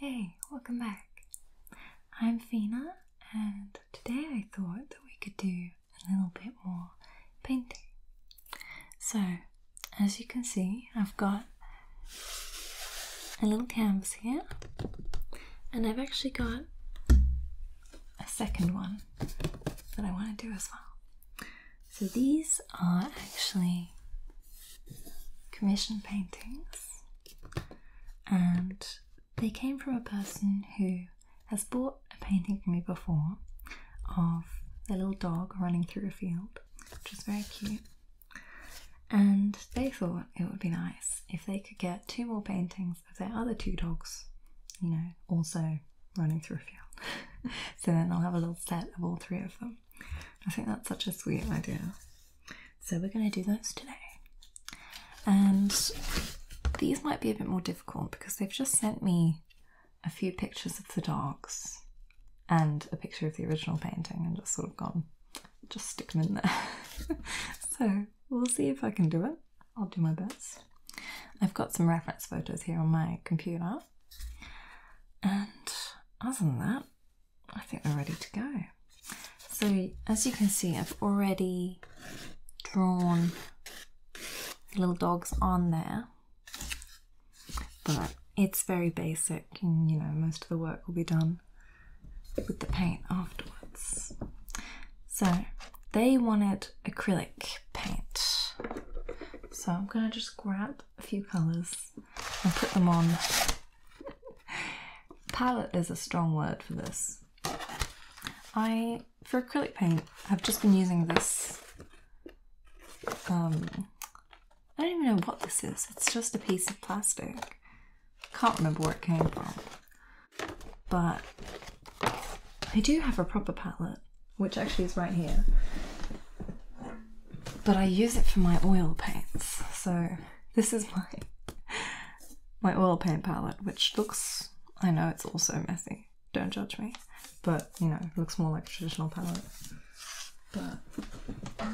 Hey, welcome back. I'm Fina, and today I thought that we could do a little bit more painting. So, as you can see, I've got a little canvas here, and I've actually got a second one that I want to do as well. So these are actually commission paintings, and they came from a person who has bought a painting from me before of a little dog running through a field, which is very cute. And they thought it would be nice if they could get two more paintings things of their other two dogs, you know, also running through a field. so then I'll have a little set of all three of them. I think that's such a sweet idea. So we're going to do those today. And these might be a bit more difficult because they've just sent me a few pictures of the dogs and a picture of the original painting and just sort of gone, just stick them in there. so we'll see if I can do it. I'll do my best. I've got some reference photos here on my computer, and other than that, I think we're ready to go. So, as you can see, I've already drawn little dogs on there, but it's very basic, and you know, most of the work will be done with the paint afterwards. So, they wanted acrylic paint. So I'm gonna just grab a few colors and put them on. Palette is a strong word for this. I, for acrylic paint, have just been using this. Um, I don't even know what this is. It's just a piece of plastic. Can't remember where it came from but I do have a proper palette, which actually is right here. But I use it for my oil paints, so this is my my oil paint palette, which looks I know it's also messy. Don't judge me, but you know, looks more like a traditional palette. But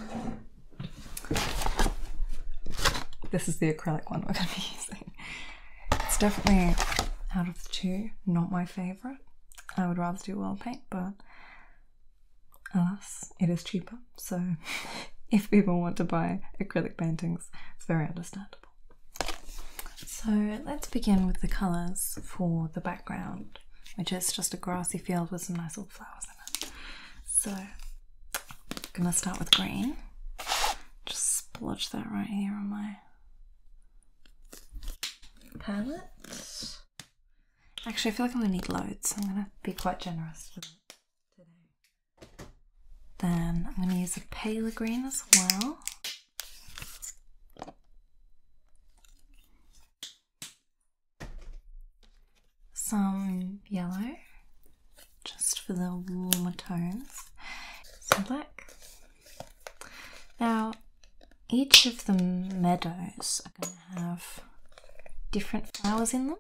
this is the acrylic one we're going to be using. It's definitely out of the two, not my favourite. I would rather do oil paint, but alas, it is cheaper. So if people want to buy acrylic paintings, it's very understandable. So let's begin with the colours for the background, which is just a grassy field with some nice little flowers in it. So I'm going to start with green. Just splodge that right here on my palette. Actually, I feel like I'm gonna need loads. I'm gonna be quite generous today. Then I'm gonna use a paler green as well. Some yellow just for the warmer tones. So black. Now, each of the meadows are going to have different flowers in them.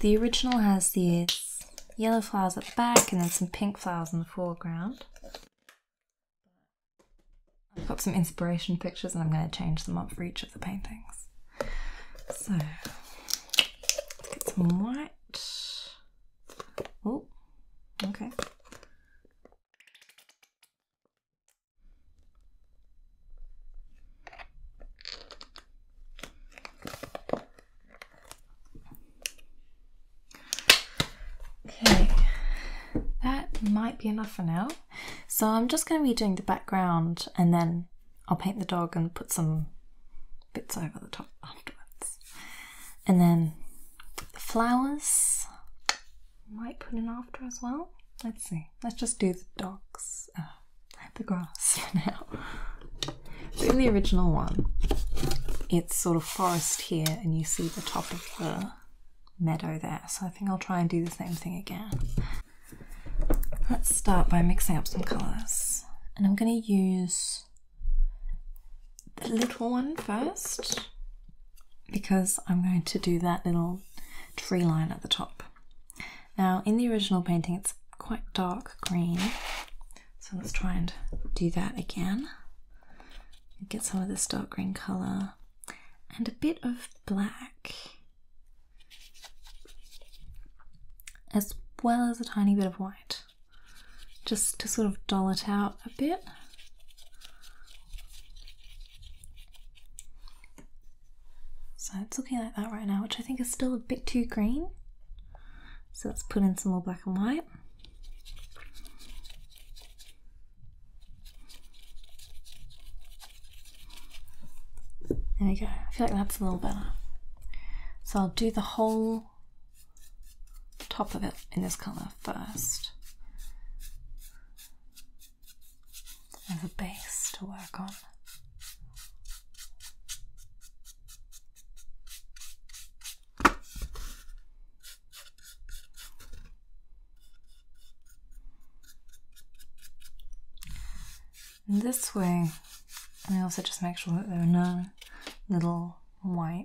The original has these yellow flowers at the back and then some pink flowers in the foreground. I've got some inspiration pictures and I'm going to change them up for each of the paintings. So, let's get some white. Oh, okay. Okay, that might be enough for now. So I'm just going to be doing the background and then I'll paint the dog and put some bits over the top afterwards. And then the flowers might put in after as well. Let's see. Let's just do the docks, uh, the grass now. So in the original one, it's sort of forest here, and you see the top of the meadow there. So I think I'll try and do the same thing again. Let's start by mixing up some colours, and I'm going to use the little one first because I'm going to do that little tree line at the top. Now, in the original painting, it's quite dark green, so let's try and do that again. Get some of this dark green colour and a bit of black, as well as a tiny bit of white just to sort of dull it out a bit. So it's looking like that right now, which I think is still a bit too green. So let's put in some more black and white. There we go, I feel like that's a little better. So I'll do the whole top of it in this colour first as a base to work on. And this way, I also just make sure that there are no little white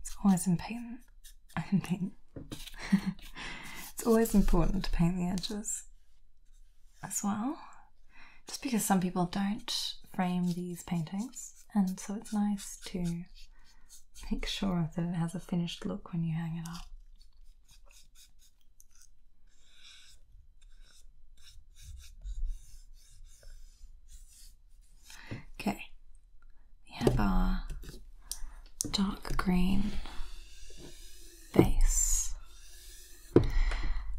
It's always important. I paint. it's always important to paint the edges as well, just because some people don't frame these paintings, and so it's nice to make sure that it has a finished look when you hang it up. Okay, we have our dark green base.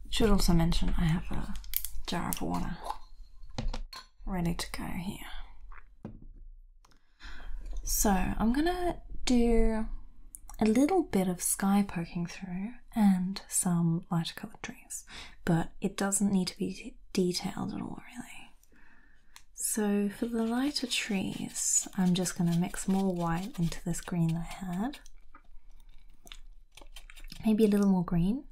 Should also mention I have a jar of water ready to go here. So I'm gonna do a little bit of sky poking through and some lighter colored trees, but it doesn't need to be detailed at all, really. So, for the lighter trees, I'm just going to mix more white into this green that I had. Maybe a little more green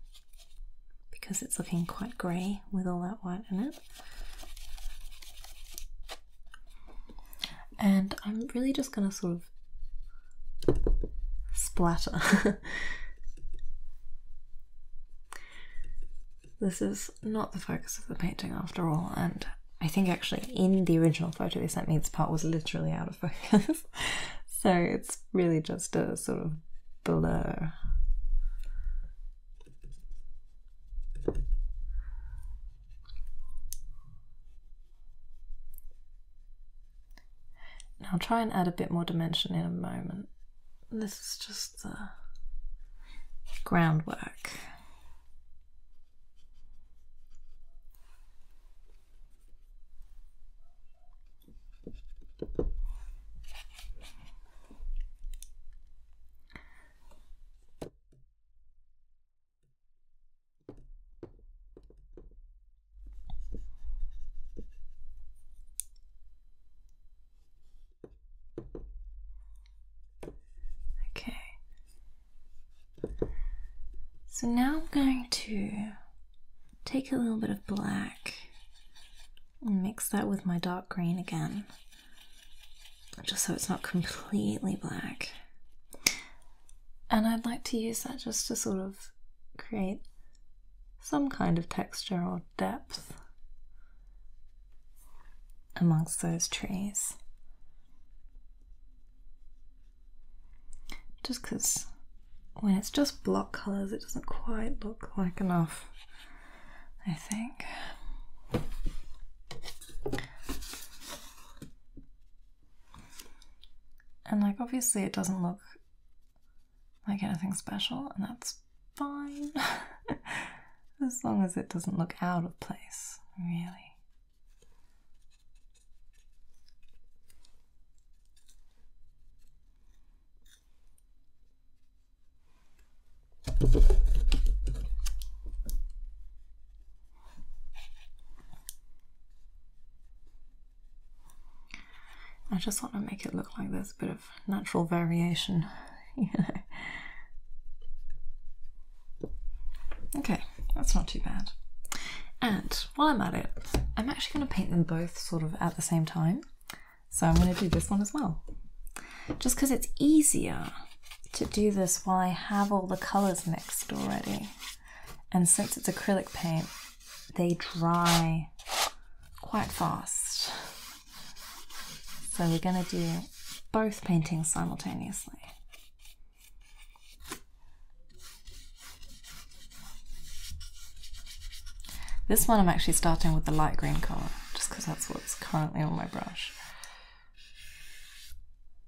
because it's looking quite grey with all that white in it and I'm really just gonna sort of splatter. this is not the focus of the painting after all, and I think actually in the original photo they sent me, this part was literally out of focus, so it's really just a sort of blur. I'll try and add a bit more dimension in a moment. This is just the groundwork. Okay. So now I'm going to take a little bit of black and mix that with my dark green again, just so it's not completely black. And I'd like to use that just to sort of create some kind of texture or depth amongst those trees. Just because when it's just block colours, it doesn't quite look like enough, I think. And like obviously it doesn't look like anything special, and that's fine. as long as it doesn't look out of place, really. I just want to make it look like there's a bit of natural variation, Okay, that's not too bad. And while I'm at it, I'm actually going to paint them both sort of at the same time. So I'm going to do this one as well. Just because it's easier to do this while I have all the colours mixed already and since it's acrylic paint, they dry quite fast. So we're going to do both paintings simultaneously. This one I'm actually starting with the light green colour, just because that's what's currently on my brush.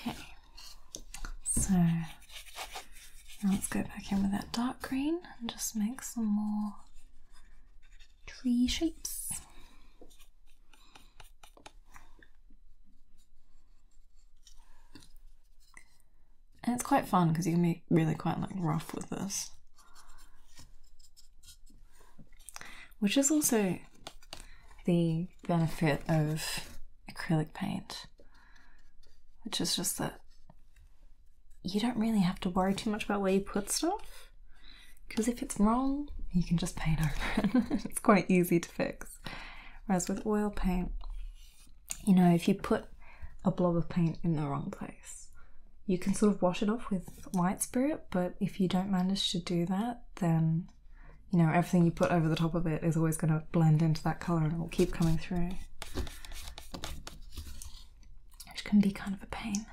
Okay, so let's go back in with that dark green and just make some more tree shapes. And it's quite fun because you can be really quite like rough with this. Which is also the benefit of acrylic paint, which is just that you don't really have to worry too much about where you put stuff because if it's wrong, you can just paint over it. it's quite easy to fix. Whereas with oil paint, you know, if you put a blob of paint in the wrong place, you can sort of wash it off with white spirit, but if you don't manage to do that, then you know, everything you put over the top of it is always going to blend into that colour and it will keep coming through. Which can be kind of a pain.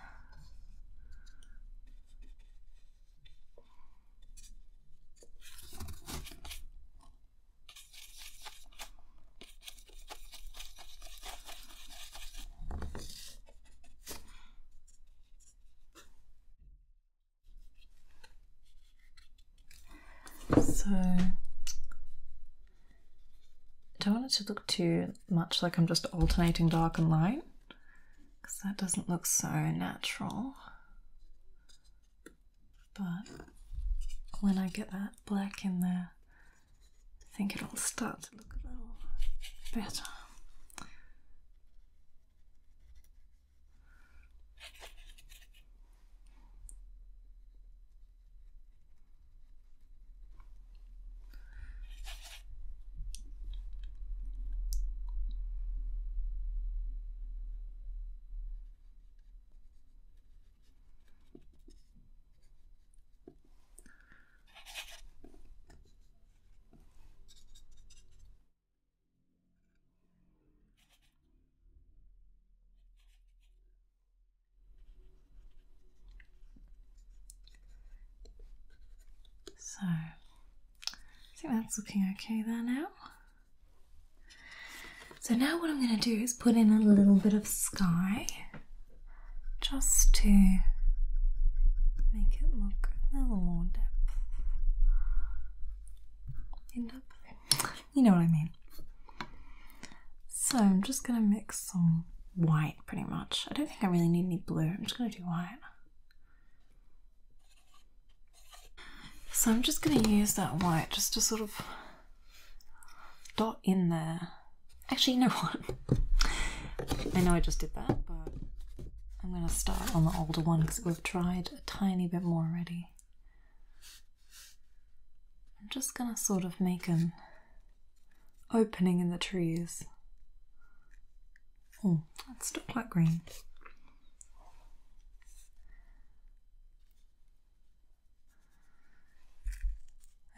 So I don't want it to look too much like I'm just alternating dark and light because that doesn't look so natural. But when I get that black in there, I think it'll start to look a little better. So, I think that's looking okay there now. So, now what I'm going to do is put in a little bit of sky just to make it look a little more depth. you know what I mean. So I'm just gonna mix some white pretty much. I don't think I really need any blue, I'm just gonna do white. So I'm just gonna use that white just to sort of dot in there. Actually, you know what? I know I just did that, but I'm going to start on the older one because we've tried a tiny bit more already. I'm just going to sort of make an opening in the trees. Oh, that's still quite green.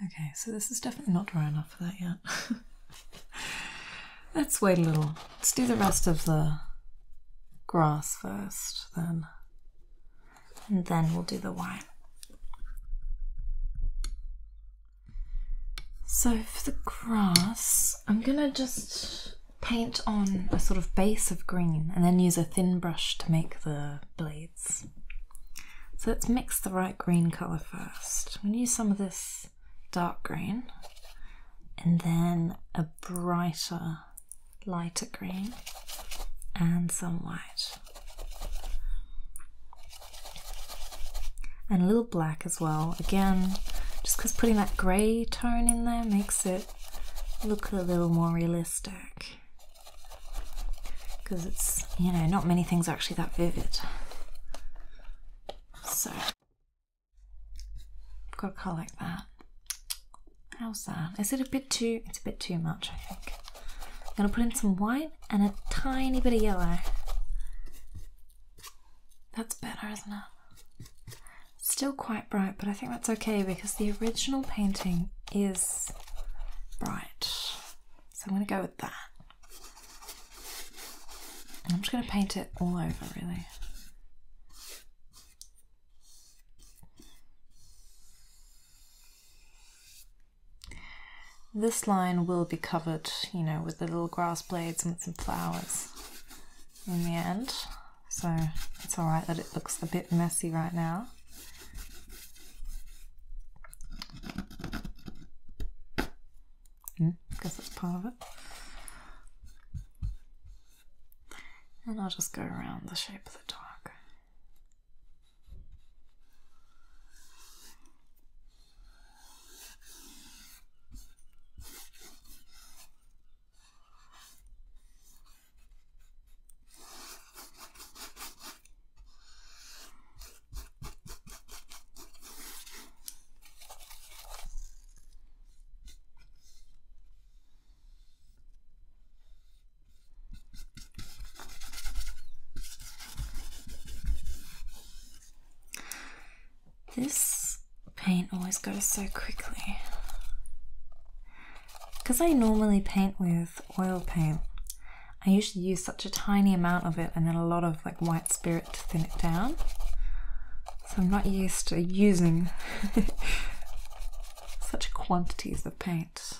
Okay, so this is definitely not dry enough for that yet. Let's wait a little. Let's do the rest of the grass first, then. And then we'll do the wine. So for the grass, I'm gonna just paint on a sort of base of green and then use a thin brush to make the blade. So let's mix the right green colour first. I'm going to use some of this dark green and then a brighter, lighter green and some white. And a little black as well. Again, just because putting that grey tone in there makes it look a little more realistic because it's, you know, not many things are actually that vivid. So, I've got a colour like that. How's that? Is it a bit too, it's a bit too much, I think. I'm going to put in some white and a tiny bit of yellow. That's better, isn't it? still quite bright, but I think that's okay because the original painting is bright. So I'm going to go with that. I'm just going to paint it all over, really. This line will be covered, you know, with the little grass blades and some flowers in the end. So it's alright that it looks a bit messy right now. Yeah, mm, I guess that's part of it. And I'll just go around the shape of the dog. This paint always goes so quickly because I normally paint with oil paint. I usually use such a tiny amount of it and then a lot of like white spirit to thin it down. So I'm not used to using such quantities of paint.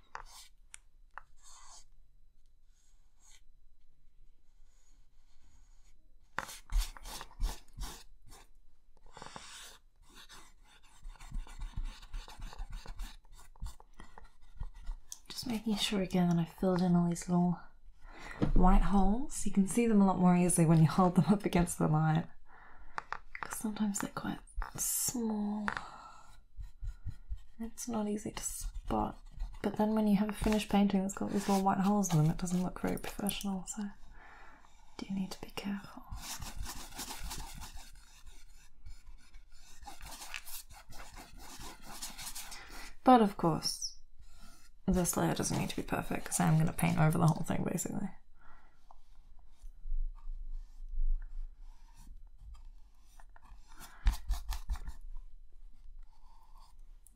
Just making sure again that I've filled in all these little white holes. You can see them a lot more easily when you hold them up against the light because sometimes they're quite small. It's not easy to spot. But then when you have a finished painting that's got these little white holes in them, it doesn't look very professional, so you need to be careful. But of course, this layer doesn't need to be perfect because I'm going to paint over the whole thing basically.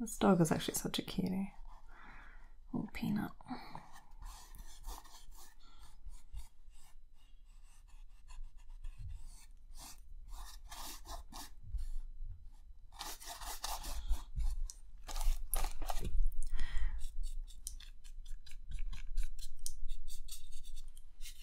This dog is actually such a cutie. Little peanut.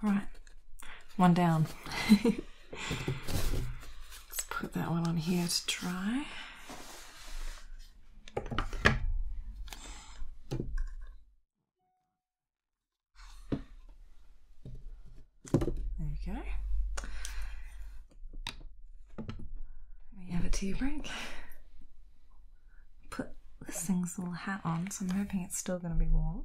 All right, one down. Let's put that one on here to dry. There you go. have a tea break. Put this thing's little hat on, so I'm hoping it's still going to be warm.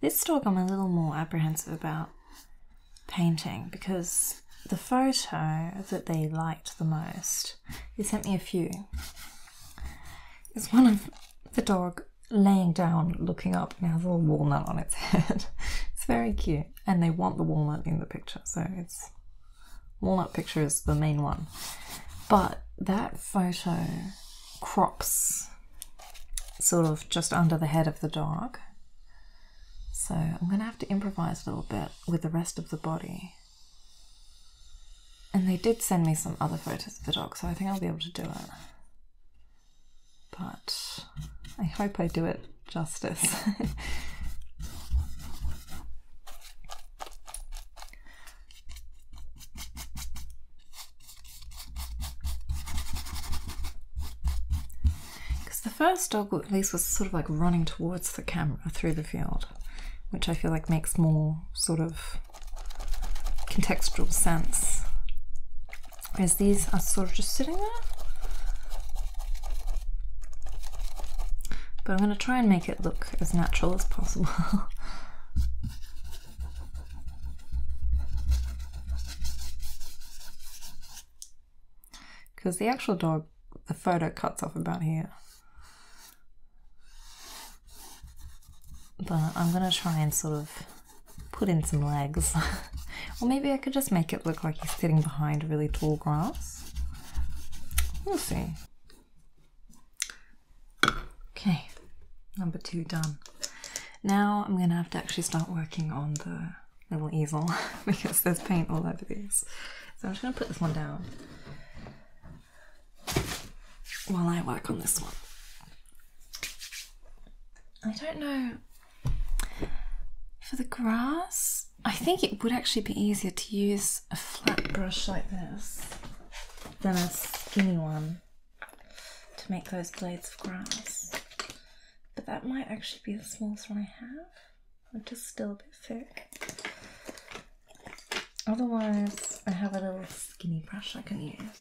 This dog I'm a little more apprehensive about painting because the photo that they liked the most list. sent me a few. There's one of the dog laying down, looking up, and has a little walnut on its head. it's very cute, and they want the walnut in the picture, so it's walnut picture is the main one. But that photo crops sort of just under the head of the dog. So I'm going to have to improvise a little bit with the rest of the body. And they did send me some other photos of the dog, so I think I'll be able to do it. But I hope I do it justice. Because the first dog, at least, was sort of like running towards the camera through the field, which I feel like makes more sort of contextual sense. As these are sort of just sitting there. But I'm going to try and make it look as natural as possible. Because the actual dog, the photo cuts off about here. But I'm gonna try and sort of put in some legs. or maybe I could just make it look like he's sitting behind really tall grass. We'll see. Okay, number two done. Now I'm gonna have to actually start working on the little easel because there's paint all over these. So I'm just gonna put this one down while I work on this one. I don't know. For the grass, I think it would actually be easier to use a flat brush like this than a skinny one to make those blades of grass. But that might actually be the smallest one I have, I'm just still a bit thick. Otherwise, I have a little skinny brush I can use.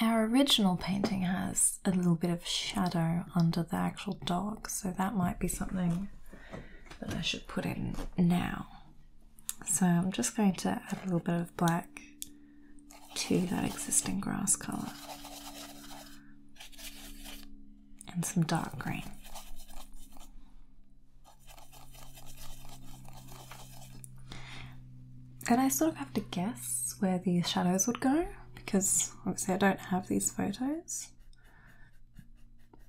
Our original painting has a little bit of shadow under the actual dog, so that might be something that I should put in now. So I'm just going to add a little bit of black to that existing grass colour and some dark green. And I sort of have to guess where the shadows would go because obviously I don't have these photos.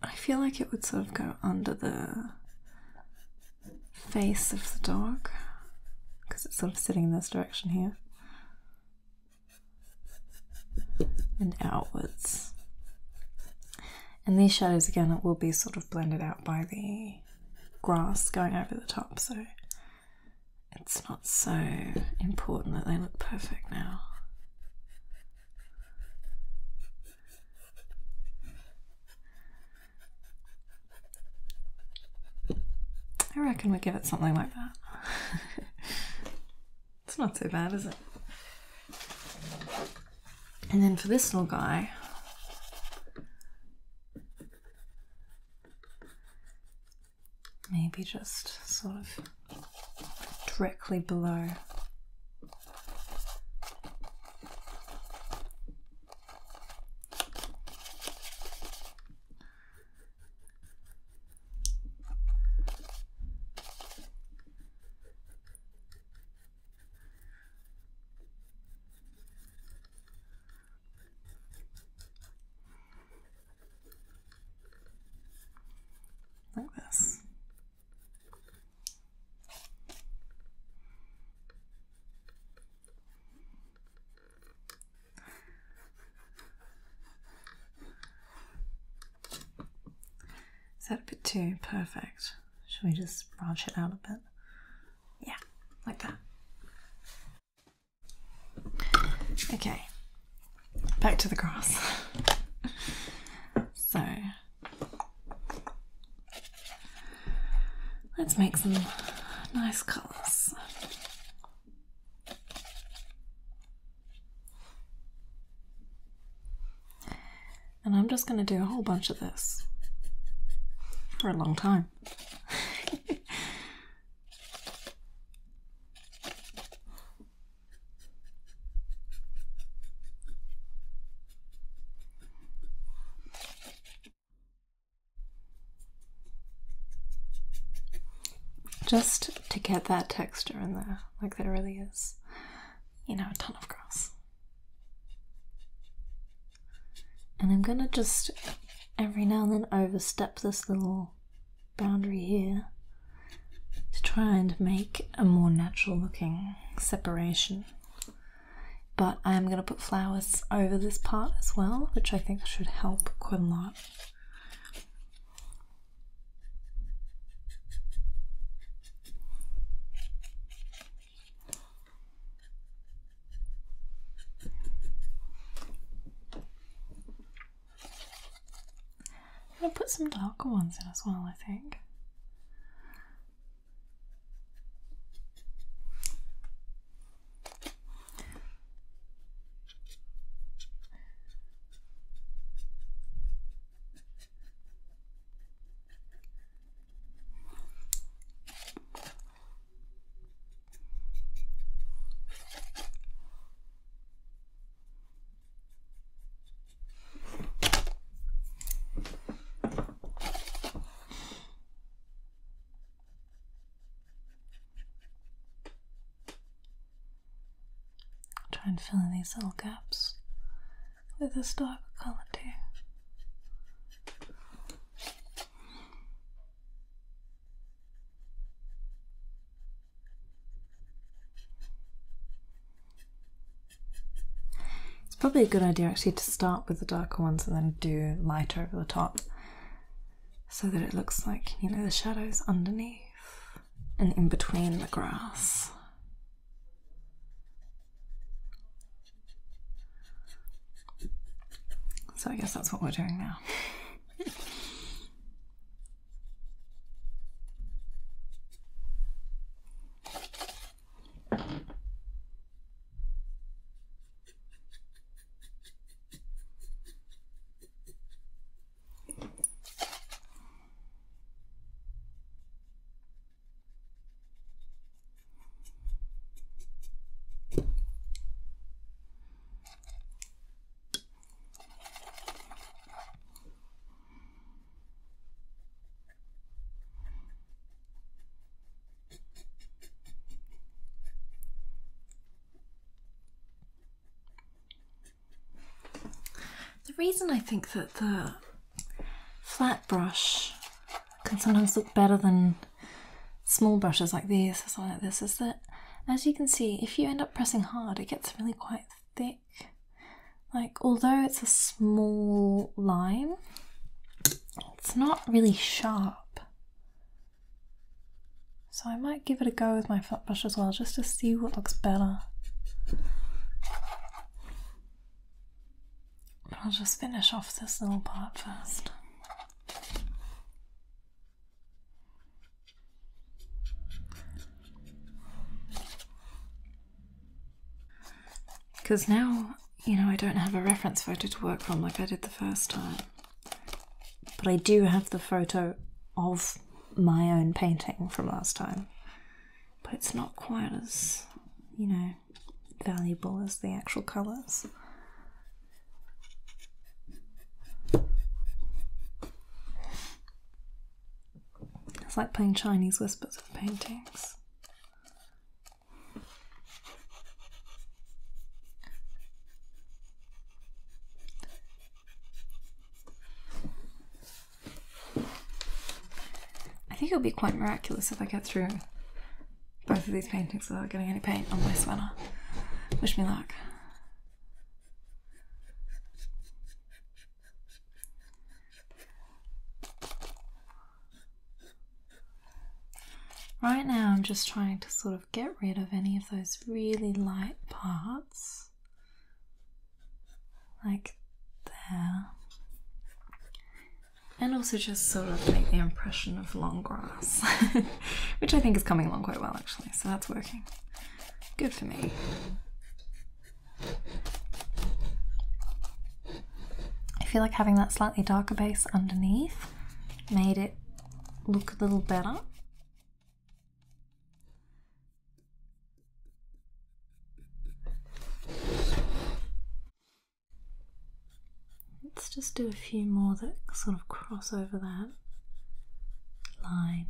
I feel like it would sort of go under the face of the dog because it's sort of sitting in this direction here and outwards and these shadows again it will be sort of blended out by the grass going over the top so it's not so important that they look perfect now I reckon we give it something like that. it's not so bad, is it? And then for this little guy, maybe just sort of directly below. Like this. Is that a bit too perfect? Should we just branch it out a bit? Yeah, like that. Okay, back to the grass. so, let's make some nice colours. And I'm just going to do a whole bunch of this for a long time. just to get that texture in there, like there really is, you know, a ton of grass. And I'm gonna just every now and then overstep this little boundary here to try and make a more natural looking separation. But I am going to put flowers over this part as well, which I think should help quite a lot. I'm gonna put some darker ones in as well, I think. Try and fill in these little gaps with this dark color too. It's probably a good idea actually to start with the darker ones and then do lighter over the top so that it looks like, you know, the shadows underneath and in between the grass. So I guess that's what we're doing now. The reason I think that the flat brush can sometimes look better than small brushes like this or something like this is that as you can see if you end up pressing hard it gets really quite thick like although it's a small line it's not really sharp so i might give it a go with my flat brush as well just to see what looks better I'll just finish off this little part first. Because now, you know, I don't have a reference photo to work from like I did the first time. But I do have the photo of my own painting from last time. But it's not quite as, you know, valuable as the actual colors. It's like playing Chinese whispers with paintings. I think it'll be quite miraculous if I get through both of these paintings without getting any paint on my sweater. Wish me luck. Right now, I'm just trying to sort of get rid of any of those really light parts, like there, and also just sort of make the impression of long grass, which I think is coming along quite well actually, so that's working. Good for me. I feel like having that slightly darker base underneath made it look a little better. Let's just do a few more that sort of cross over that line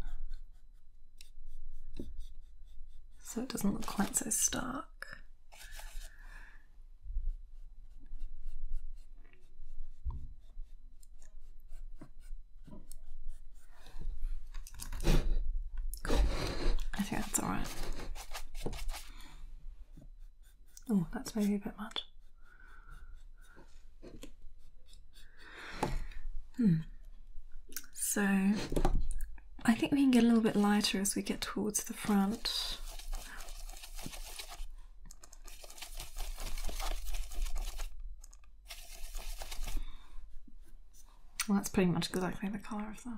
so it doesn't look quite so stark. I think that's alright. Oh, that's maybe a bit much. Hmm. So I think we can get a little bit lighter as we get towards the front. Well, that's pretty much exactly the colour of the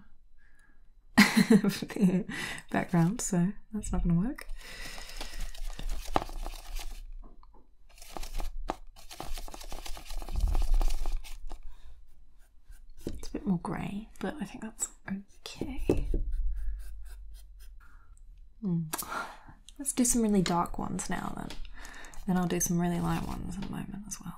the background, so that's not going to work. It's a bit more grey, but I think that's okay. Hmm. Let's do some really dark ones now then. Then I'll do some really light ones in a moment as well.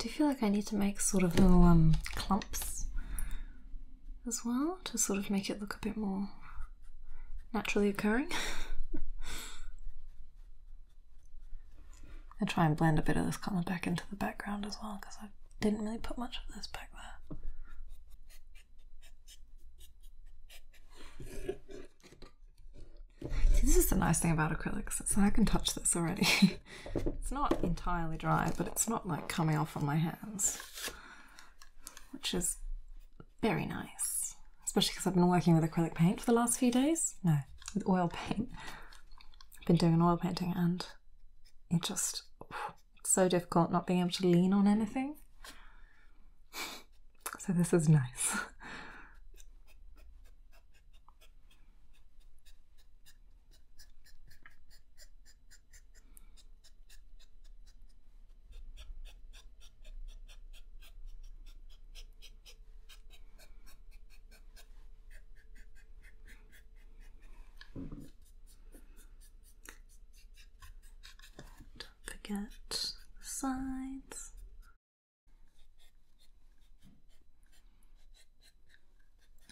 Do you feel like I need to make sort of little um, clumps as well to sort of make it look a bit more naturally occurring. I try and blend a bit of this colour back into the background as well because I didn't really put much of this back there. See, this is the nice thing about acrylics. I can touch this already. it's not entirely dry, but it's not like coming off on my hands which is very nice, especially because I've been working with acrylic paint for the last few days. No, with oil paint. I've been doing an oil painting and it just, it's so difficult not being able to lean on anything. So this is nice. Don't forget the sides.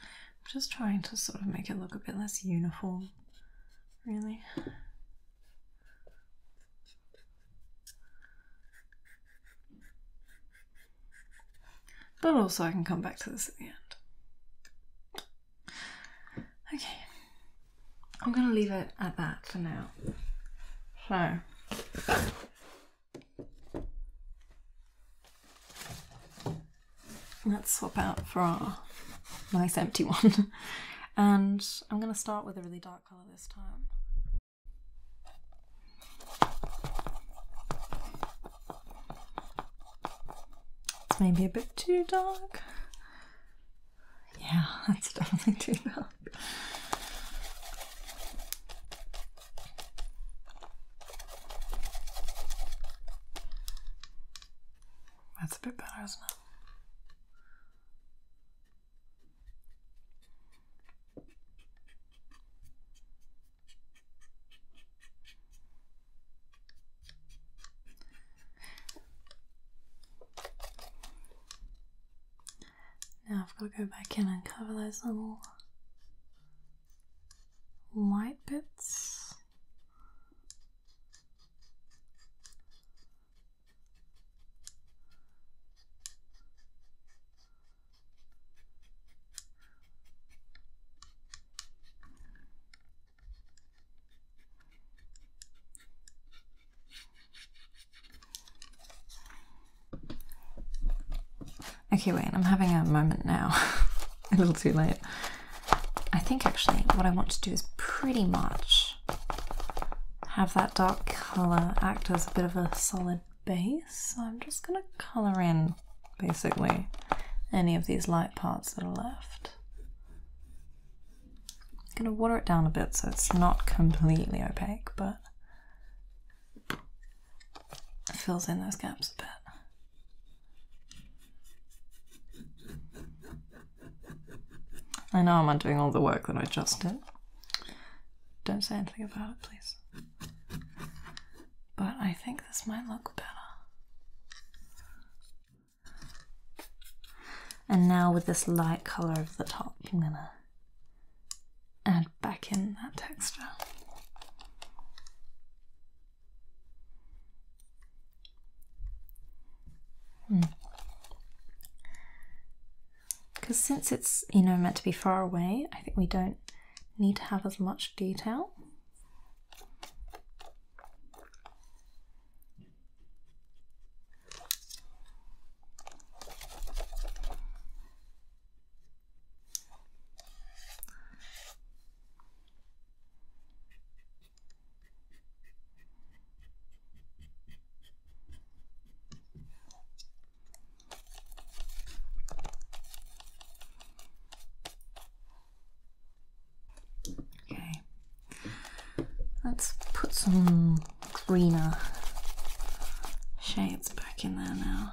I'm just trying to sort of make it look a bit less uniform Really? But also, I can come back to this at the end. Okay. I'm going to leave it at that for now. So. Let's swap out for our nice empty one. and I'm going to start with a really dark colour this time. It's maybe a bit too dark. Yeah, that's definitely too dark. That's a bit better, isn't it? Now I've got to go back in and cover those little white bits Okay, wait, I'm having a moment now. a little too late. I think actually what I want to do is pretty much have that dark colour act as a bit of a solid base. So I'm just going to colour in basically any of these light parts that are left. I'm going to water it down a bit so it's not completely opaque, but fills in those gaps a bit. I know I'm undoing all the work that I just did. Don't say anything about it, please. But I think this might look better. And now with this light colour of the top, I'm gonna add back in that texture. Because hmm. since it's, you know, meant to be far away, I think we don't need to have as much detail. Okay, let's put some greener shades back in there now.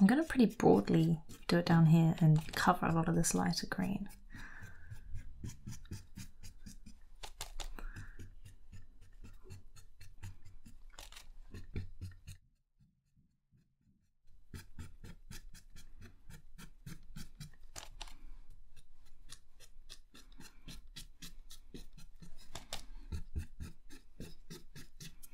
I'm going to pretty broadly do it down here and cover a lot of this lighter green.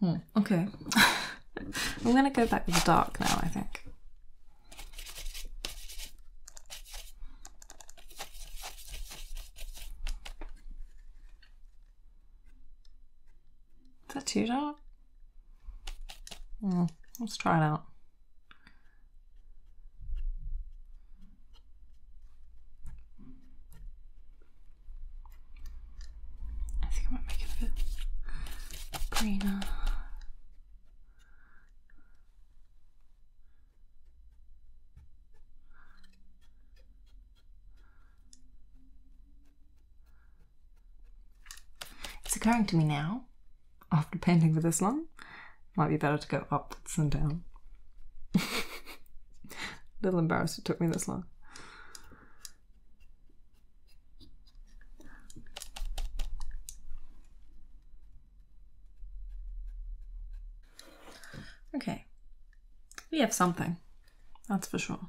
Hmm, okay. I'm gonna go back with the dark now, I think. Is that too dark? let's try it out. I think I might make it a bit greener. It's occurring to me now, after painting for this long, might be better to go upwards and down. A little embarrassed it took me this long. Okay, we have something, that's for sure.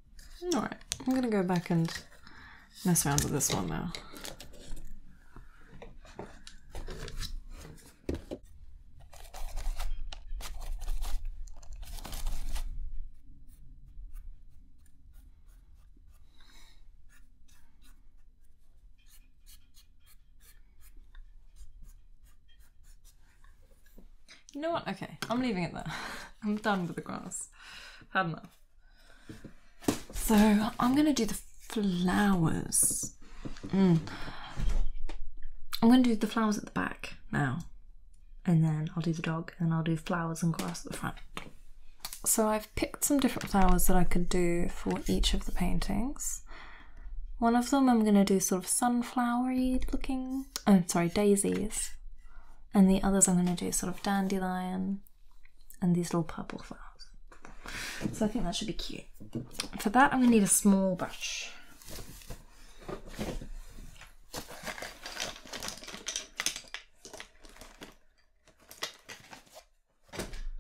Alright, I'm gonna go back and mess around with this one now. You know what? Okay, I'm leaving it there. I'm done with the grass. Had enough. So I'm going to do the flowers. Mm. I'm going to do the flowers at the back now. And then I'll do the dog and I'll do flowers and grass at the front. So I've picked some different flowers that I could do for each of the paintings. One of them I'm going to do sort of sunflowery looking, oh sorry, daisies. And the others I'm going to do sort of dandelion and these little purple flowers. So I think that should be cute. For that, I'm going to need a small brush.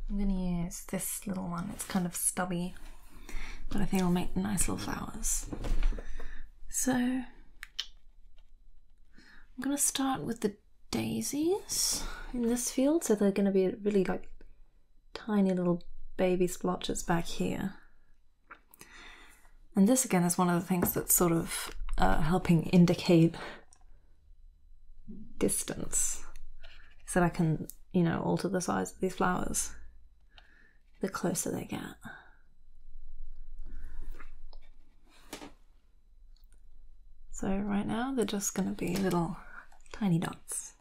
I'm going to use this little one. It's kind of stubby, but I think it'll make nice little flowers. So I'm going to start with the daisies in this field, so they're going to be really like tiny little baby splotches back here. And this again is one of the things that's sort of uh, helping indicate distance so that I can, you know, alter the size of these flowers the closer they get. So right now they're just going to be little tiny dots.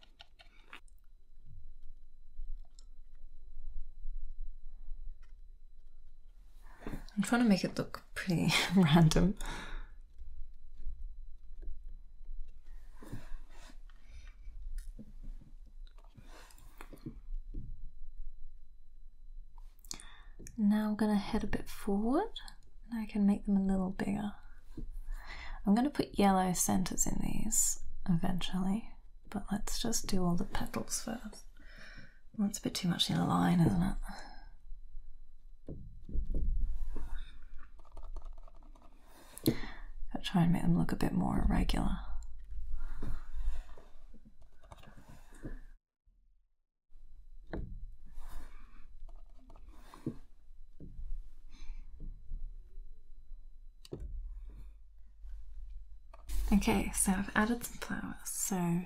I'm trying to make it look pretty random. Now I'm going to head a bit forward and I can make them a little bigger. I'm going to put yellow centers in these eventually, but let's just do all the petals first. That's a bit too much in a line, isn't it? Gotta try and make them look a bit more irregular. Okay, so I've added some flowers. So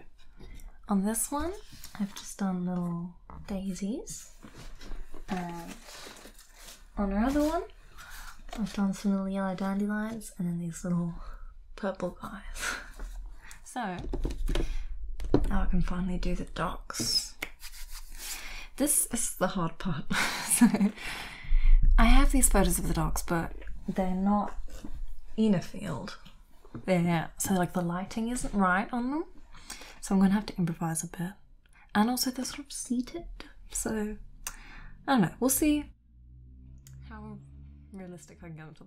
on this one, I've just done little daisies. And on our other one, I've done some little yellow dandelions and then these little purple eyes. so now I can finally do the docs. This is the hard part. so I have these photos of the docs, but they're not in a field. They're so like the lighting isn't right on them. So I'm gonna have to improvise a bit. And also they're sort of seated, so I don't know, we'll see how realistic I can get to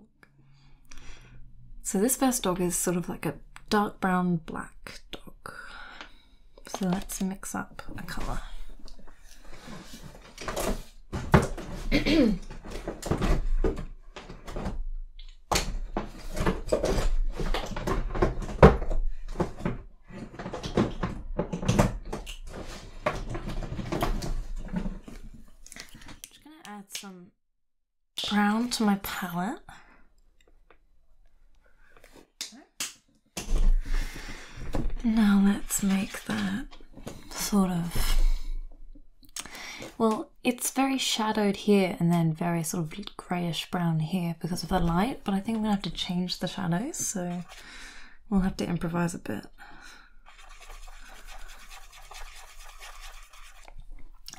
so this first dog is sort of like a dark brown black dog. So let's mix up a color just going to add some brown to my palette. Now let's make that sort of. Well, it's very shadowed here and then very sort of greyish brown here because of the light, but I think I'm gonna have to change the shadows, so we'll have to improvise a bit.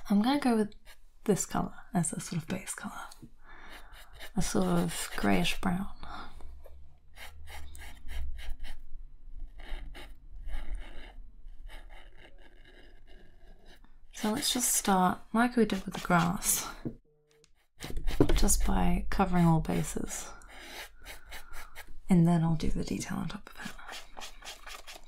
I'm gonna go with this color as a sort of base color, a sort of grayish brown. So let's just start, like we did with the grass, just by covering all bases. And then I'll do the detail on top of it.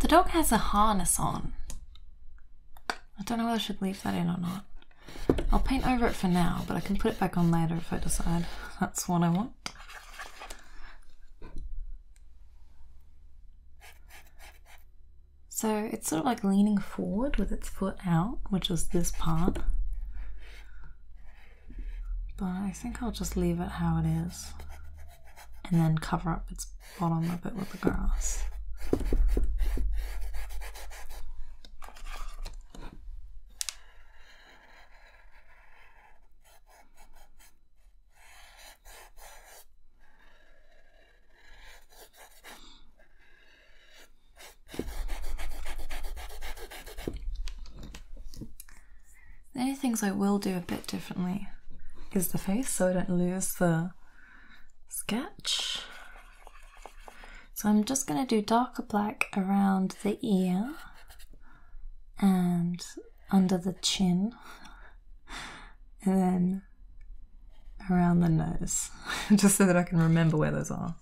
The dog has a harness on. I don't know whether I should leave that in or not. I'll paint over it for now, but I can put it back on later if I decide that's what I want. So it's sort of like leaning forward with its foot out, which is this part. But I think I'll just leave it how it is and then cover up its bottom a bit with the grass. The only things I will do a bit differently is the face so I don't lose the sketch. So I'm just going to do darker black around the ear and under the chin and then around the nose just so that I can remember where those are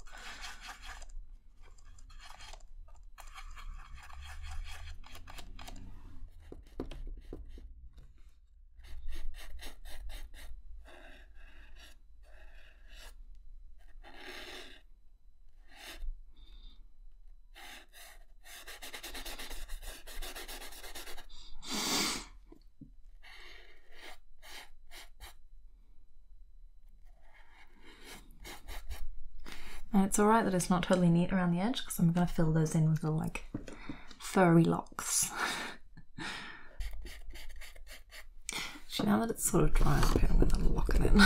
it's alright that it's not totally neat around the edge because I'm going to fill those in with the like furry locks. Actually, now that it's sort of dry up I'm going to lock it in.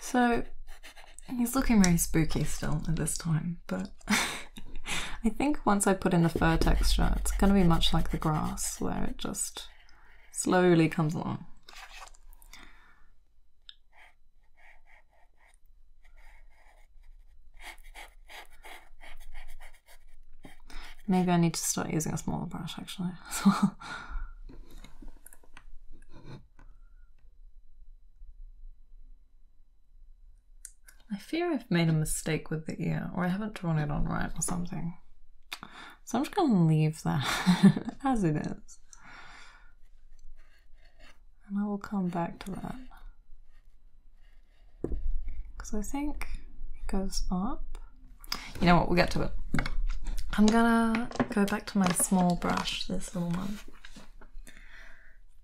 So he's looking very spooky still at this time but I think once I put in the fur texture, it's going to be much like the grass, where it just slowly comes along. Maybe I need to start using a smaller brush actually. I fear I've made a mistake with the ear, or I haven't drawn it on right or something. So I'm just going to leave that as it is. And I will come back to that. Because I think it goes up. You know what, we'll get to it. I'm gonna go back to my small brush, this little one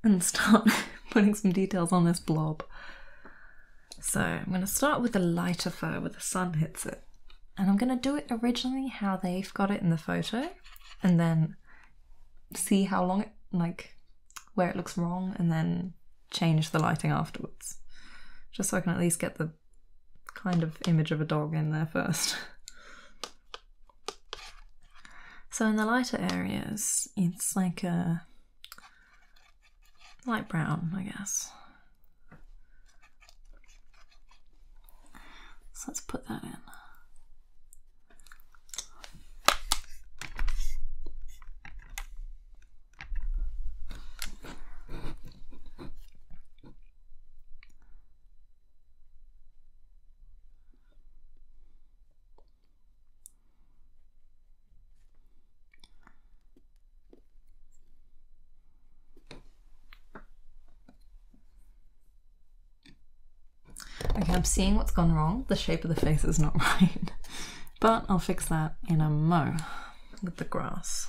and start putting some details on this blob. So I'm going to start with the lighter fur where the sun hits it. And I'm going to do it originally how they've got it in the photo and then see how long it, like, where it looks wrong and then change the lighting afterwards. Just so I can at least get the kind of image of a dog in there first. So in the lighter areas, it's like a light brown, I guess. So let's put that in. Okay, I'm seeing what's gone wrong. The shape of the face is not right. But I'll fix that in a mo with the grass.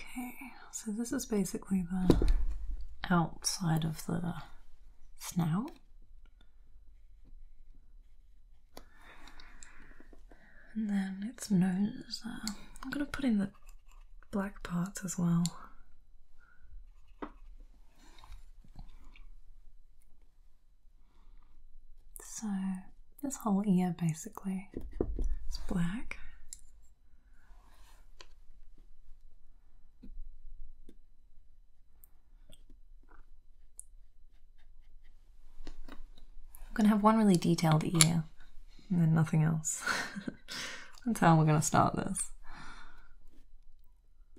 Okay, so this is basically the outside of the snout. And then its nose. Uh, I'm going to put in the black parts as well. So, this whole ear basically is black. I'm going to have one really detailed ear and then nothing else. That's how we're going to start this.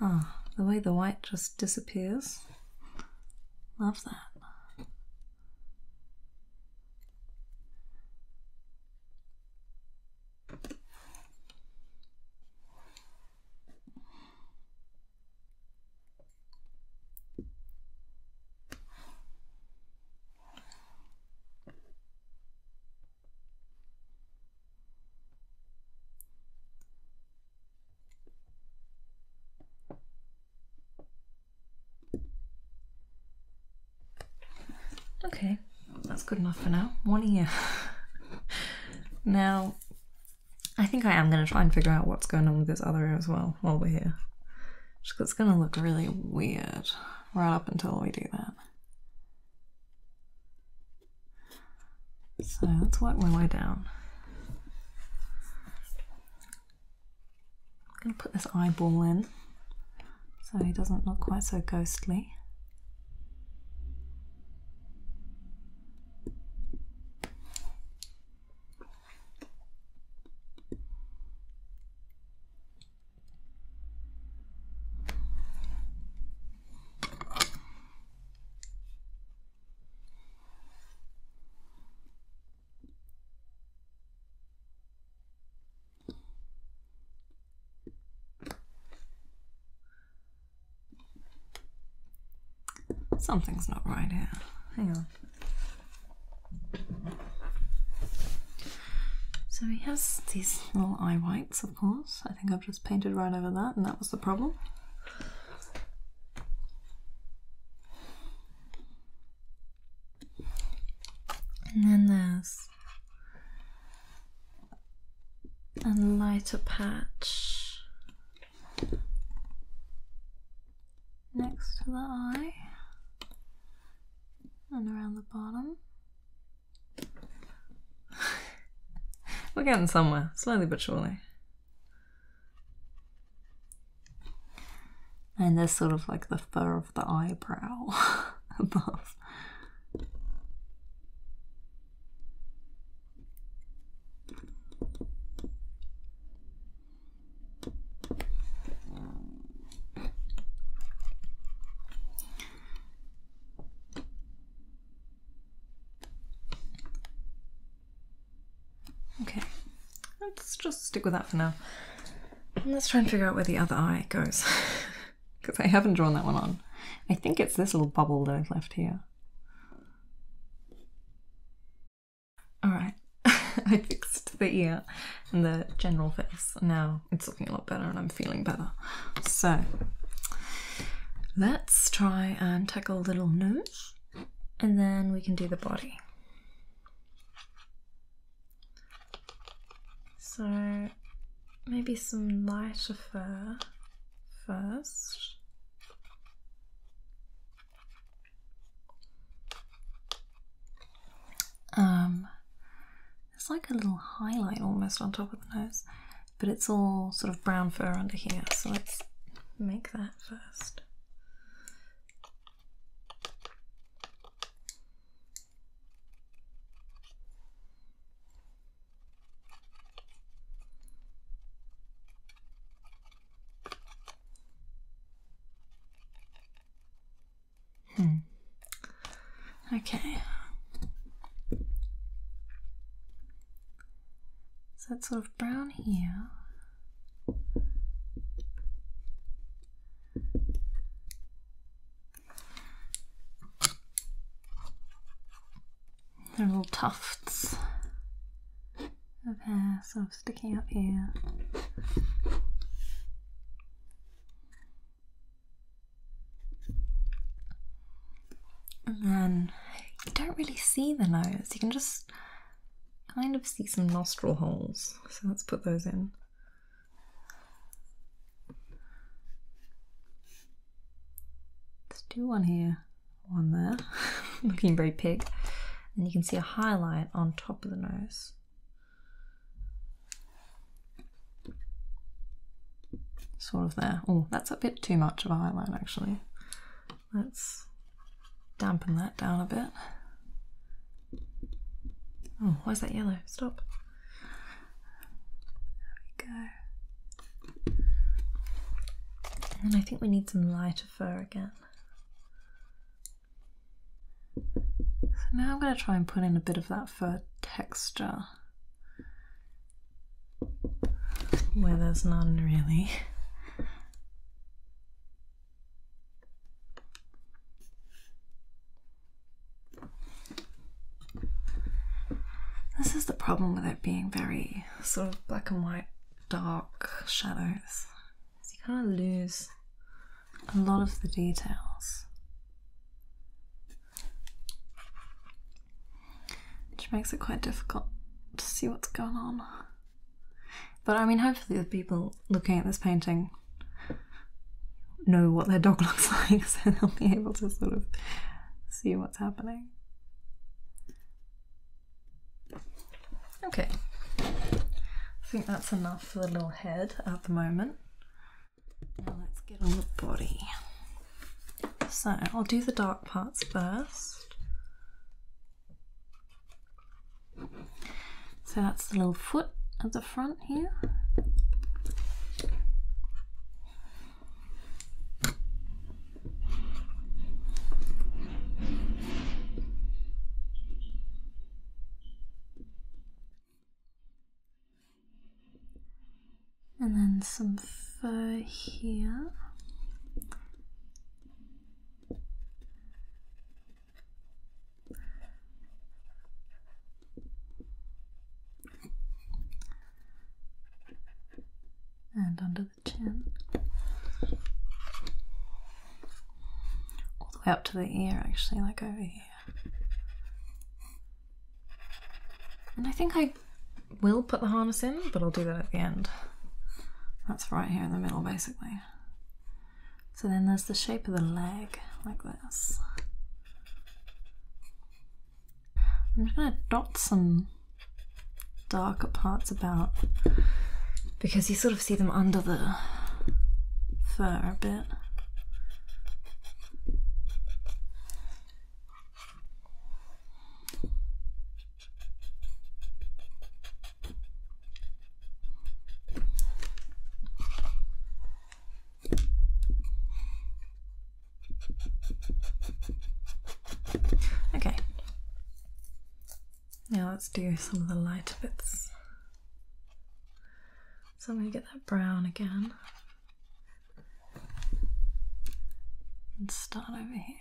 Ah, the way the white just disappears. Love that. Okay, that's good enough for now. One you. now, I think I am going to try and figure out what's going on with this other ear as well while we're here. It's going to look really weird right up until we do that. So let's work my way down. I'm going to put this eyeball in so he doesn't look quite so ghostly. Something's not right here. Hang on. So he has these little eye whites, of course. I think I've just painted right over that, and that was the problem. And then there's a lighter patch next to the eye and around the bottom. We're getting somewhere, slowly but surely. And there's sort of like the fur of the eyebrow above. Okay, let's just stick with that for now. let's try and figure out where the other eye goes. Because I haven't drawn that one on. I think it's this little bubble that I've left here. Alright, I fixed the ear and the general face. Now it's looking a lot better and I'm feeling better. So let's try and tackle a little nose and then we can do the body. So maybe some lighter fur first. Um, it's like a little highlight almost on top of the nose, but it's all sort of brown fur under here, so let's make that first. Hmm. Okay. So that's sort of brown here. they are little tufts of hair sort of sticking out here. And then you don't really see the nose, you can just kind of see some nostril holes. So let's put those in. Let's do one here, one there, looking very pig. And you can see a highlight on top of the nose. Sort of there. Oh, that's a bit too much of a highlight actually. Let's dampen that down a bit. Oh, why is that yellow? Stop. There we go. And I think we need some lighter fur again. So now I'm going to try and put in a bit of that fur texture where there's none really. This is the problem with it being very sort of black and white, dark shadows. you kind of lose a lot of the details, which makes it quite difficult to see what's going on. But I mean, hopefully, the people looking at this painting know what their dog looks like, so they'll be able to sort of see what's happening. Okay, I think that's enough for the little head at the moment. Now let's get on the body. So I'll do the dark parts first. So that's the little foot at the front here and then some fur here. And under the chin, all the way up to the ear, actually, like over here. And I think I will put the harness in, but I'll do that at the end. That's right here in the middle, basically. So then there's the shape of the leg, like this. I'm just going to dot some darker parts about because you sort of see them under the fur a bit. Okay. Now let's do some of the lighter bits. So I'm going to get that brown again and start over here.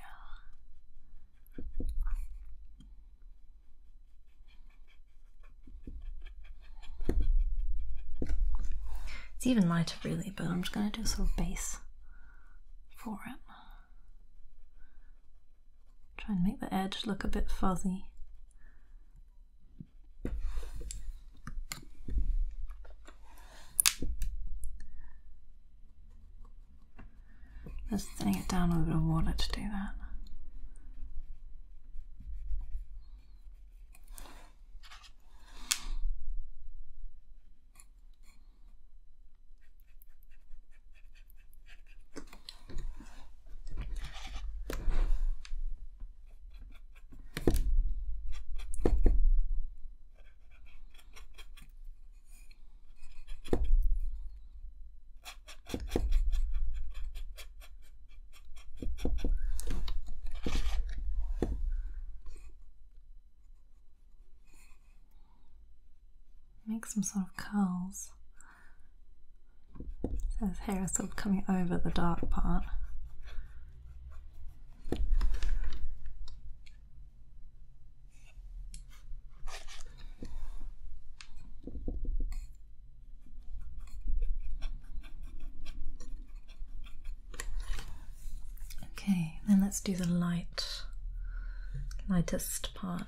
It's even lighter really, but I'm just going to do a sort of base for it. Try and make the edge look a bit fuzzy. Just thinning it down a little bit of water to do that. Make some sort of curls his hair is sort of coming over the dark part. Okay, then let's do the light, lightest part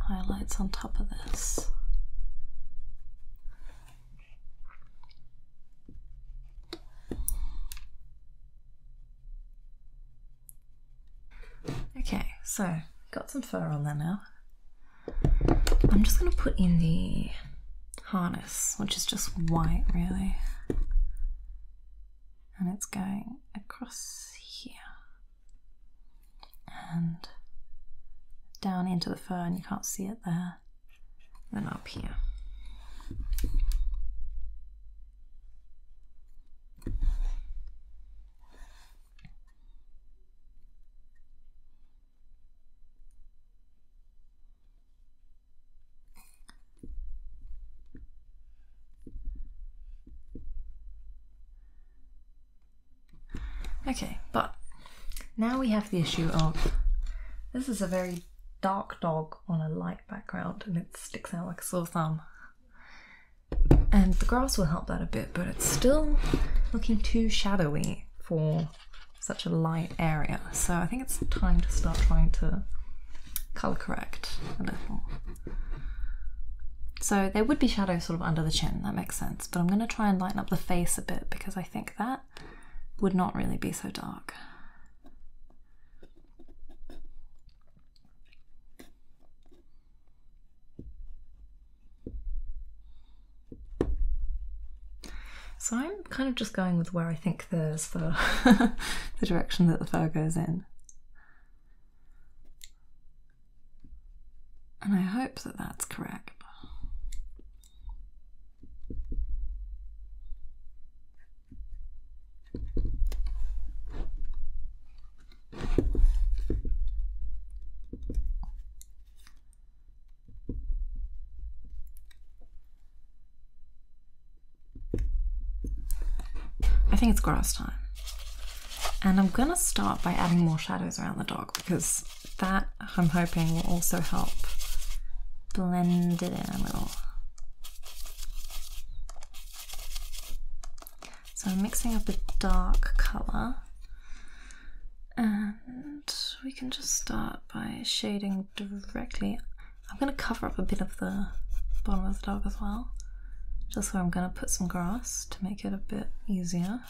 highlights on top of this. Okay, so got some fur on there now. I'm just going to put in the harness, which is just white really. And it's going across here and down into the fur, and you can't see it there. Then up here. Okay, but now we have the issue of this is a very dark dog on a light background and it sticks out like a sore thumb. And the grass will help that a bit, but it's still looking too shadowy for such a light area. So I think it's time to start trying to color correct a little. So there would be shadows sort of under the chin, that makes sense, but I'm going to try and lighten up the face a bit because I think that would not really be so dark. So I'm kind of just going with where I think there's the direction that the fur goes in. And I hope that that's correct. I think it's grass time. And I'm gonna start by adding more shadows around the dog because that I'm hoping will also help blend it in a little. So I'm mixing up a dark colour and we can just start by shading directly. I'm going to cover up a bit of the bottom of the dog as well, just where I'm going to put some grass to make it a bit easier.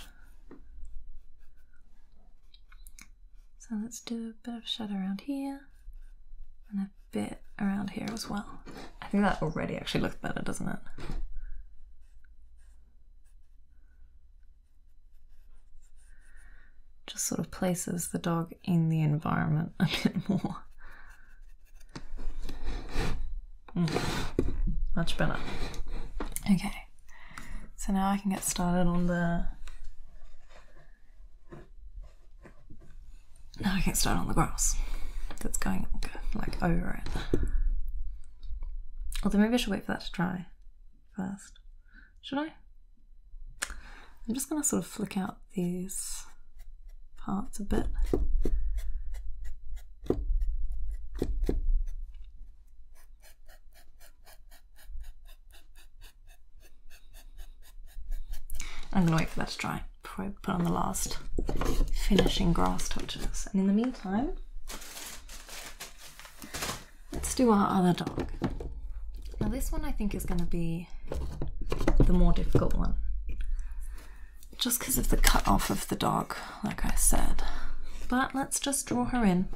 So let's do a bit of shadow around here and a bit around here as well. I think that already actually looks better, doesn't it? Just sort of places the dog in the environment a bit more. Mm. Much better. Okay. So now I can get started on the. Now I can start on the grass that's going like over it. Although maybe I should wait for that to dry first. Should I? I'm just going to sort of flick out these parts a bit. I'm gonna wait for that to dry before I put on the last finishing grass touches. And in the meantime, let's do our other dog. Now this one I think is gonna be the more difficult one just because of the cut off of the dog, like I said. But let's just draw her in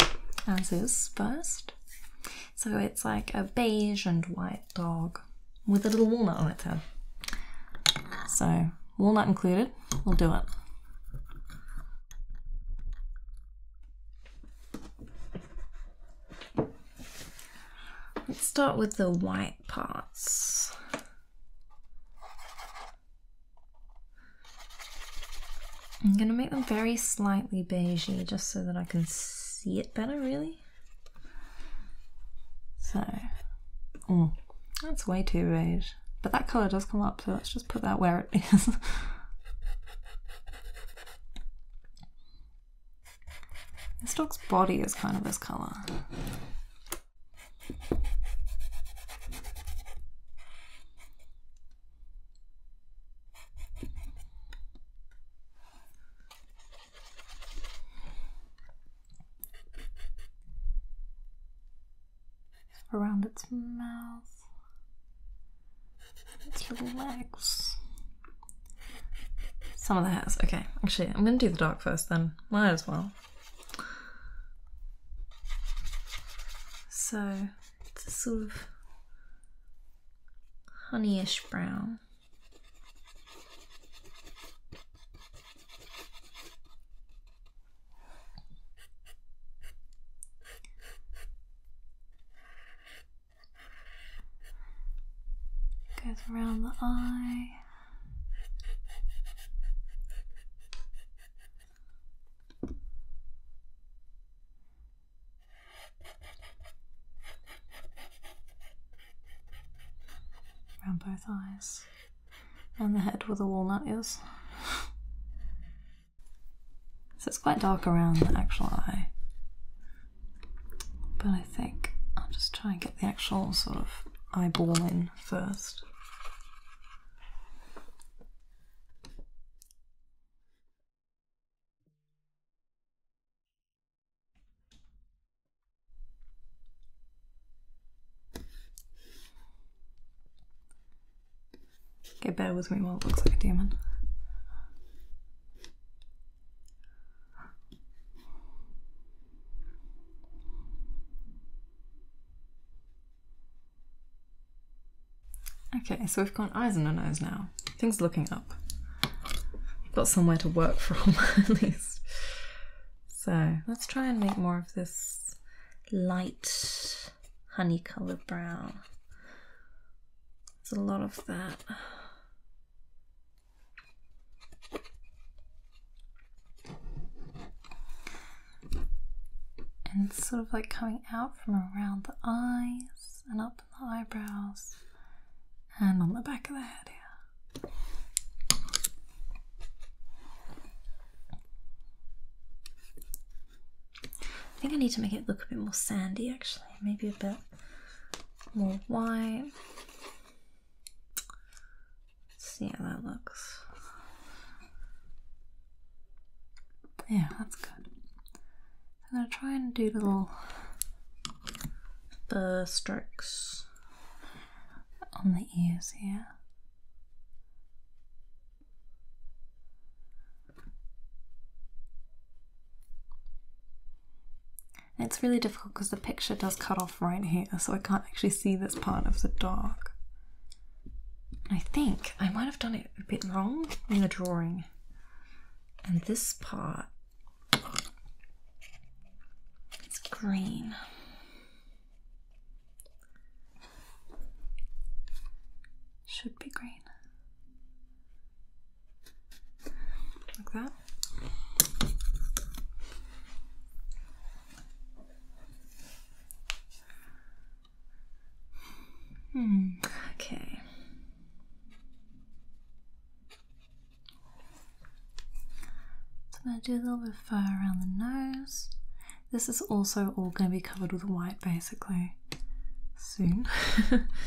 as is first. So it's like a beige and white dog with a little walnut on its head. So walnut included, we'll do it. Let's start with the white parts. I'm gonna make them very slightly beigey just so that I can see it better really. So, oh, that's way too beige. But that colour does come up so let's just put that where it is. this dog's body is kind of this colour around its mouth, its little legs. Some of the hairs. Okay, actually, I'm gonna do the dark first then. Might as well. So it's a sort of honeyish brown. Goes around the eye. Around both eyes. And the head with the walnut ears. so it's quite dark around the actual eye. But I think I'll just try and get the actual sort of eyeball in first. Okay, bear with me while it looks like a demon. Okay, so we've got eyes and a nose now. Things looking up. Got somewhere to work from, at least. So let's try and make more of this light honey colored brown. There's a lot of that. And sort of like coming out from around the eyes and up the eyebrows and on the back of the head here. I think I need to make it look a bit more sandy actually, maybe a bit more white. Let's see how that looks. Yeah, that's good. I'm gonna try and do little the strokes on the ears here. it's really difficult because the picture does cut off right here, so I can't actually see this part of the dog. I think I might have done it a bit wrong in the drawing. And this part is green. Should be green. Like that. Hmm. okay. So I'm going to do a little bit of fur around the nose. This is also all going to be covered with white basically soon.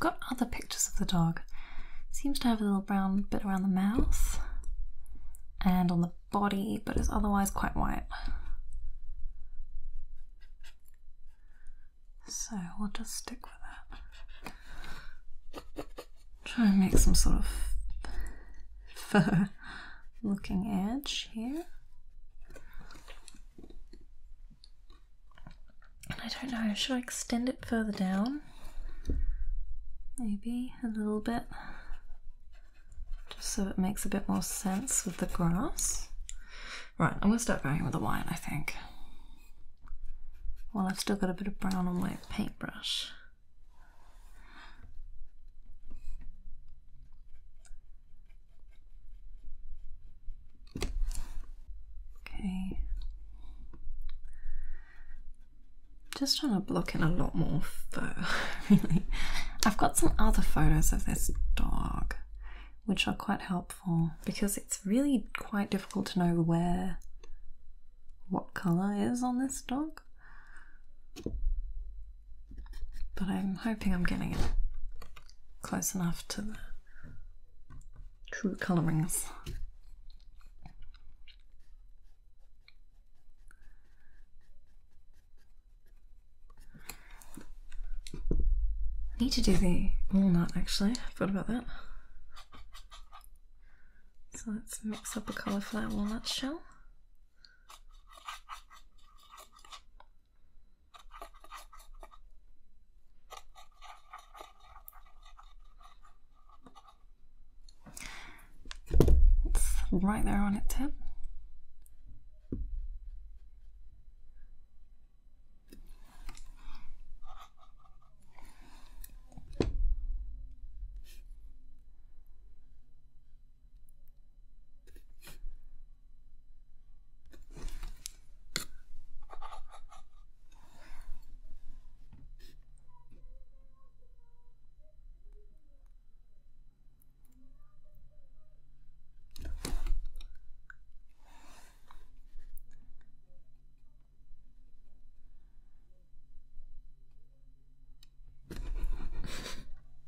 got other pictures of the dog. Seems to have a little brown bit around the mouth and on the body, but it's otherwise quite white. So we'll just stick with that. Try and make some sort of fur looking edge here. I don't know, should I extend it further down? Maybe a little bit, just so it makes a bit more sense with the grass. Right, I'm gonna start going with the white, I think. Well, I've still got a bit of brown on my paintbrush. Okay. Just trying to block in a lot more fur, really. I've got some other photos of this dog which are quite helpful because it's really quite difficult to know where what colour is on this dog. But I'm hoping I'm getting it close enough to the true colourings. I need to do the walnut actually, I forgot about that. So let's mix up a cauliflower walnut shell. It's right there on its tip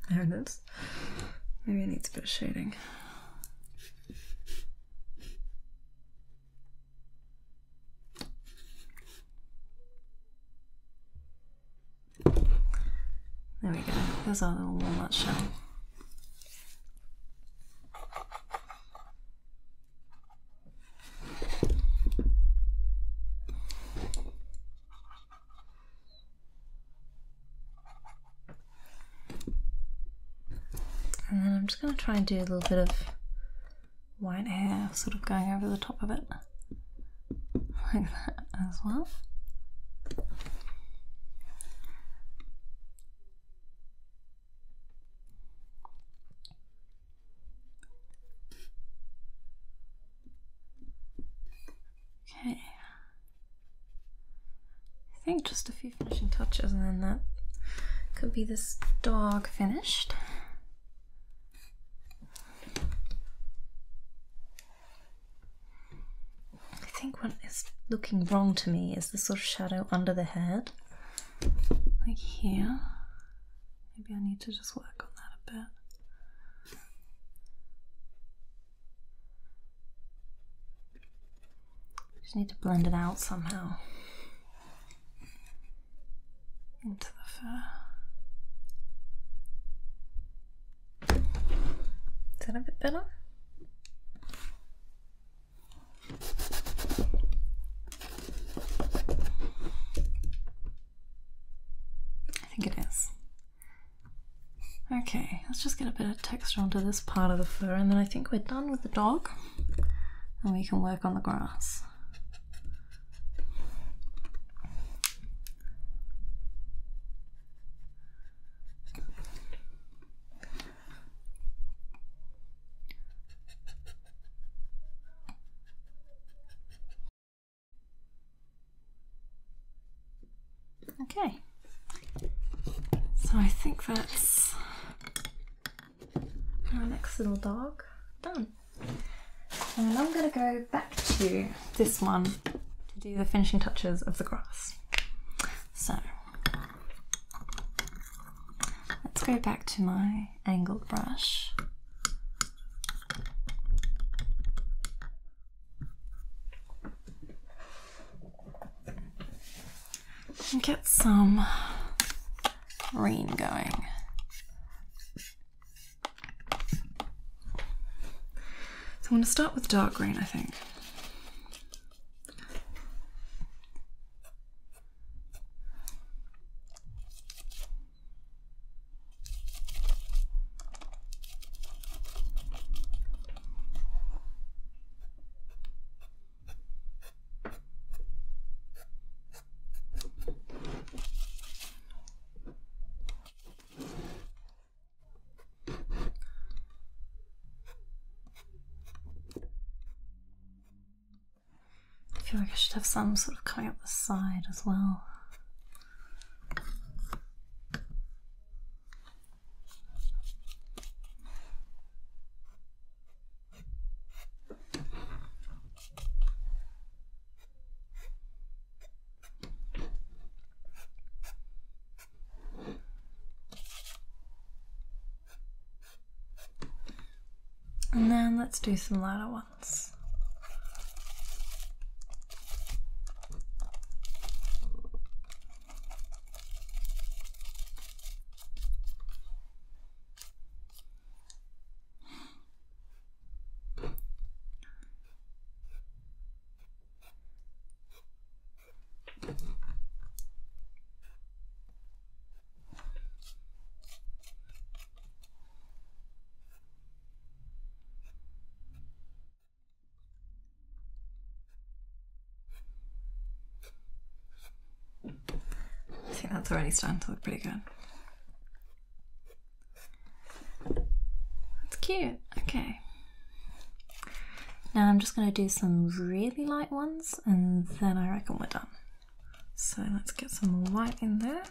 there it is. Maybe it needs a bit of shading. There we go. There's our little walnut shell. And then I'm just going to try and do a little bit of white hair sort of going over the top of it, like that as well. Okay, I think just a few finishing touches, and then that could be this dog finished. I think what is looking wrong to me is the sort of shadow under the head, like here. Maybe I need to just work on that a bit. Just need to blend it out somehow into the fur. Is that a bit better? I think it is. Okay, let's just get a bit of texture onto this part of the fur and then I think we're done with the dog and we can work on the grass. Okay, so I think that's our next little dog done. And I'm going to go back to this one to do the finishing touches of the grass. So let's go back to my angled brush. And get some green going. So I'm going to start with dark green, I think. I feel like I should have some sort of coming up the side as well. And then let's do some lighter ones. I think that's already starting to look pretty good. That's cute. Okay. Now I'm just going to do some really light ones and then I reckon we're done. So let's get some more white in there.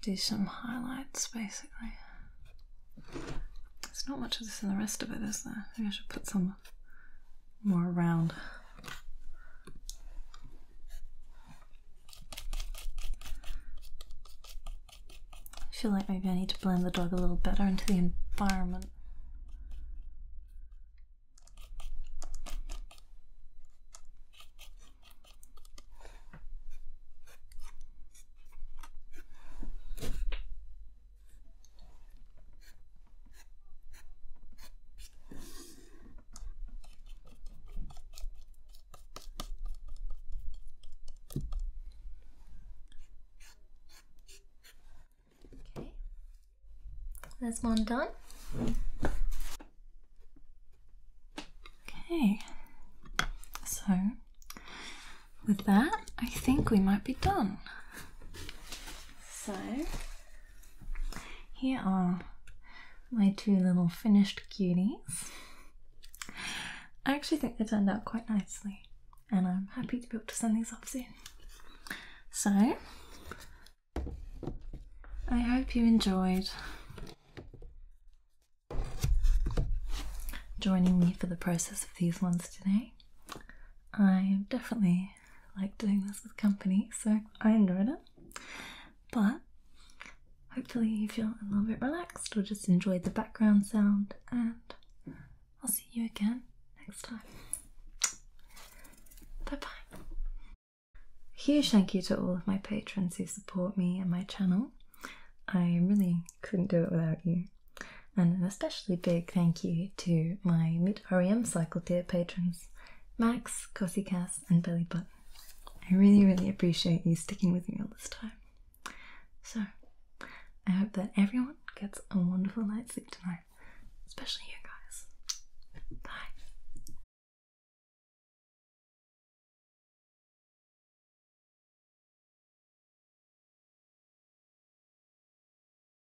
Do some highlights basically. There's not much of this in the rest of it, is there? Maybe I should put some more round. I feel like maybe I need to blend the dog a little better into the environment. Okay, that's one done. Okay, so with that, I think we might be done. So here are my two little finished cuties. I actually think they turned out quite nicely, and I'm happy to be able to send these off soon. So, I hope you enjoyed joining me for the process of these ones today. I am definitely like doing this with company, so I enjoyed it. But hopefully, you feel a little bit relaxed or just enjoyed the background sound, and I'll see you again next time. Bye bye. Huge thank you to all of my patrons who support me and my channel. I really couldn't do it without you. And an especially big thank you to my favorite REM cycle dear patrons Max, Cossie Cass, and Belly Button. I really, really appreciate you sticking with me all this time. So, I hope that everyone gets a wonderful night's sleep tonight, especially you guys. Bye.